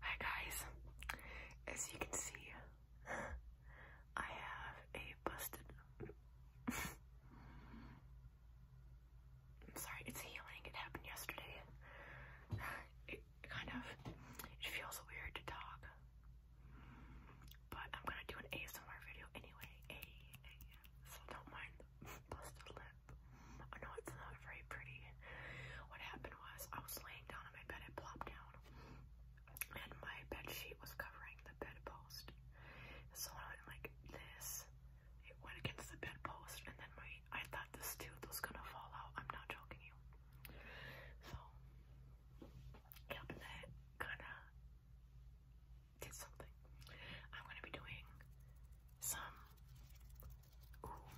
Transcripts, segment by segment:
Hi guys, as you can see, I have a busted. I'm sorry, it's healing. It happened yesterday. It kind of it feels weird to talk, but I'm gonna do an ASMR video anyway. A, a so don't mind the busted lip. I know it's not very pretty. What happened was I was laying down on my bed, it plopped down, and my bed sheet was covering the bedpost. So I went like this, it went against the bedpost, and then my I thought this tooth was gonna fall out. I'm not joking you. So yeah, but then it kinda did something. I'm gonna be doing some ooh,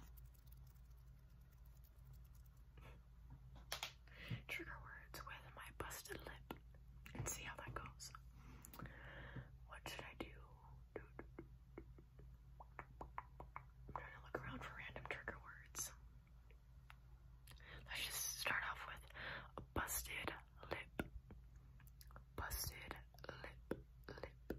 Trigger words with my busted lip and see how that goes. What should I do? I'm trying to look around for random trigger words. Let's just start off with a busted lip. Busted lip, lip,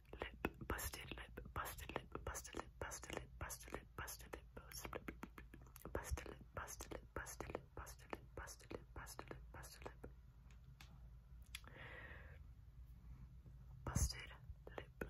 lip, busted lip, busted lip, busted lip, busted lip, busted lip, busted lip, busted lip, busted lip, busted lip, busted lip, busted lip, busted lip, busted lip, busted lip, busted lip, busted lip, busted lip, lip, lip, lip, lip, lip, lip,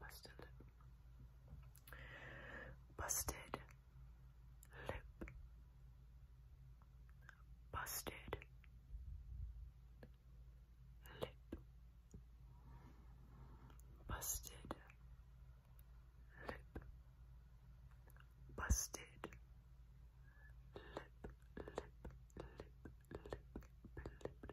busted lip. Busted lip. Busted lip. Busted lip. Busted lip. Lip. Lip. Lip. Lip. Lip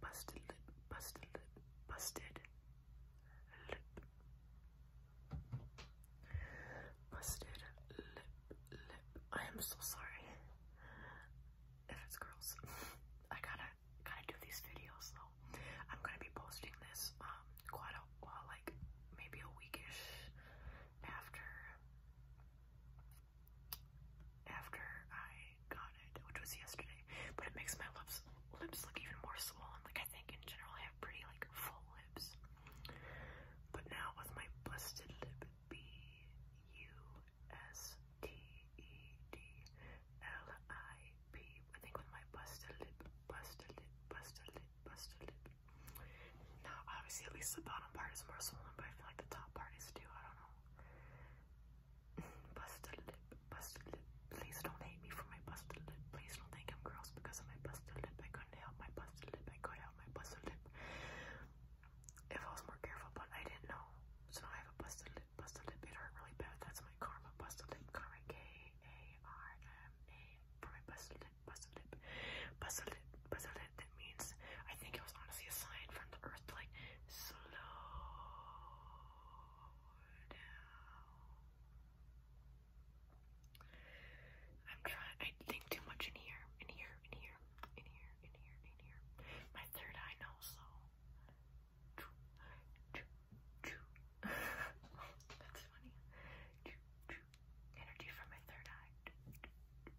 busted lip, busted lip, busted lip. Busted lip, I am so sorry if it's gross. I gotta, gotta do these videos though. I'm gonna be posting this um quite a like maybe a weekish after after I got it, which was yesterday, but it makes my lips lips look even more swollen. Like I think in general I have pretty like full lips, but now with my busted lip, B U S T E D L I P. I think with my busted lip, busted lip, busted lip, busted lip. Now obviously at least the bottom part is more swollen, but I feel like the top part is too. I don't know. Busted lip, busted lip. Please don't hate me for my busted lip. Please don't think I'm gross because of my busted lip. I couldn't help my busted lip. I could help my busted lip. If I was more careful, but I didn't know. So now I have a busted lip. Busted lip. It hurt really bad. That's my karma. Busted lip. Karma. K A R M A. For my busted lip. Busted lip. Busted lip. Busted lip means I think it was honestly a sign from the earth to like slow down. I'm trying I think too much in here, in here, in here, in here, in here, in here. My third eye knows that's funny. Energy from my third eye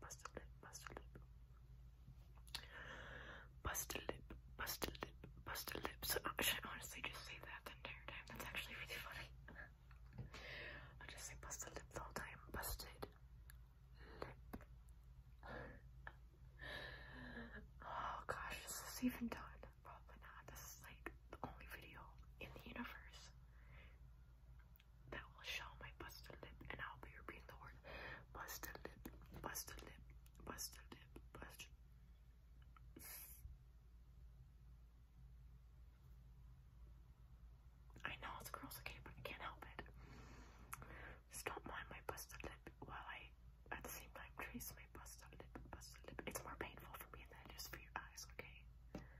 bust a lip, bust a lip. Bust a lip, bust a lip, bust a lip. So I should honestly just say that the entire time. That's actually really funny. I just say bust a lip the whole time. Busted lip. Oh gosh, is this even done? Probably not. This is like the only video in the universe that will show my busted lip, and I'll be repeating the word busted lip, busted lip, busted lip, busted. I know it's girls, okay, but I can't help it. Just don't mind my busted lip while I, at the same time, trace my busted lip, busted lip. It's more painful for me than it is for your eyes, okay?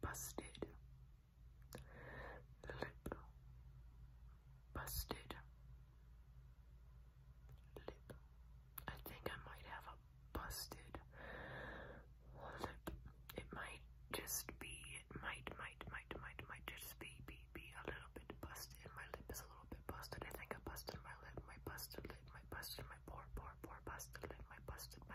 busted lip busted lip I think I might have a busted it might just be it might might might might might just be be be a little bit busted my lip is a little bit busted I think I busted my lip my busted lip my busted my poor poor poor busted lip my busted my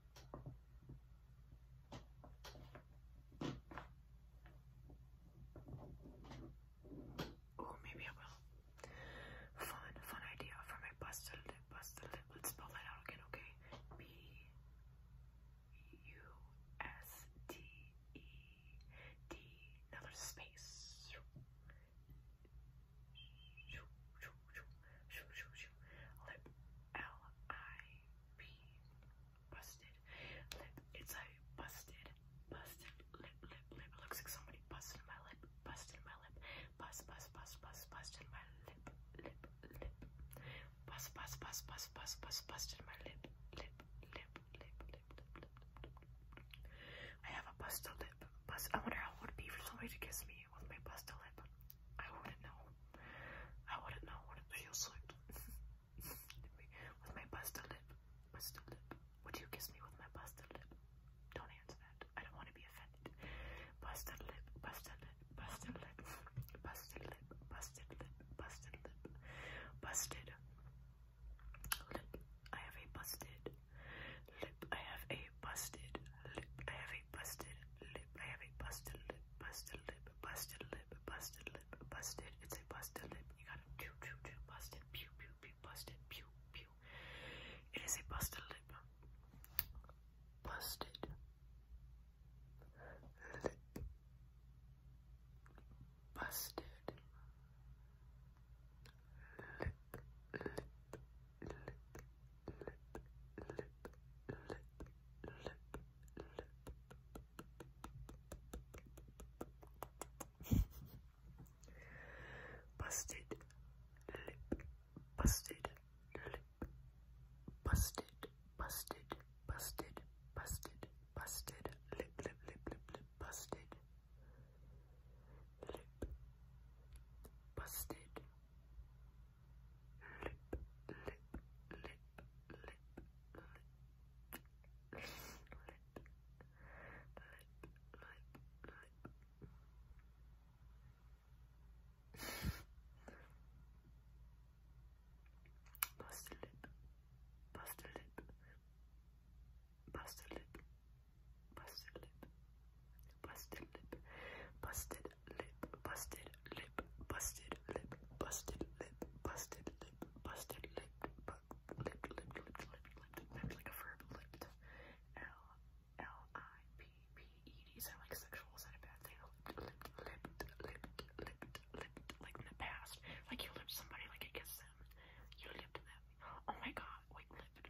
Oh, maybe I will. Fun, fun idea for my bustle. lip. Busted lip. Let's spell that out again, okay? B U S T E D. Now space. Lip L I P busted lip. It's a busted, busted lip, lip, lip. It looks like somebody busted my lip, busted my lip, bust, bust, bust, bust, busted my lip, lip, lip. Bust, bust, bust, bust, bust, bust, busted my lip, lip, lip, lip, lip, lip, lip. I have a busted lip. Bust. I wonder how it would be for somebody to kiss me with my pasta lip. I wouldn't know. I wouldn't know what it feels like. with my pasta lip. Pasta lip. Would you kiss me with my pasta lip? Don't answer that. I don't want to be offended. Pasta lip. Pasta lip. Pasta lip. Pasta lip. Busted lip. Busted lip. Busted. Lip. I have a busted lip. I have a busted lip. I have a busted lip. I have a busted lip. Busted lip. Busted lip. Busted lip. Busted. It's a busted lip. You gotta pew pew pew. Busted. Pew pew pew. Busted. Pew pew. It is a busted lip. Busted lip. Busted lip. Lip lip. Busted lip, busted lip, busted, busted, busted, busted, busted, lip, lip, lip, lip, lip, busted, lip, busted, lip, lip, lip, lip, lip, lip. Bust a lip, bust a lip, bust a lip, bust a lip, bust a lip, busted lip busted, lip busted, lip busted, lip busted, lip busted, lip bu lip lip lip lip lip. Maybe like a verb, lipped. L L I P P E D. Is that like sexual? Is that a bad thing? Lipped, lipped, lipped, lipped, lipped, lipped. Like in the past, like you lipped somebody, like you kissed them, you lipped them. Oh my God, wait, lipped.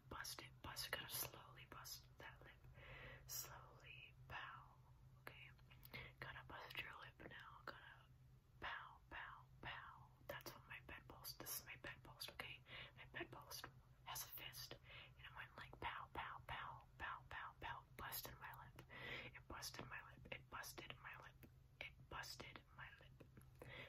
Bust it, bust it. Gotta slowly bust that lip. Slowly pow. Okay. Gotta bust your lip now. Gotta pow, pow, pow. That's what my bed post. This is my bed post, okay? My bed post has a fist. And I went like pow, pow, pow, pow, pow, pow. Busted my lip. It busted my lip. It busted my lip. It busted my lip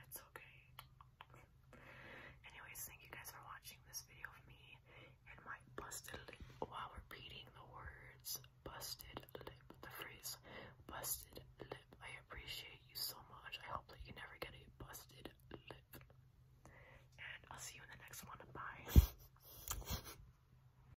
it's okay. Anyways, thank you guys for watching this video of me and my busted lip while repeating the words busted lip, the phrase busted lip. I appreciate you so much. I hope that you never get a busted lip. And I'll see you in the next one. Bye.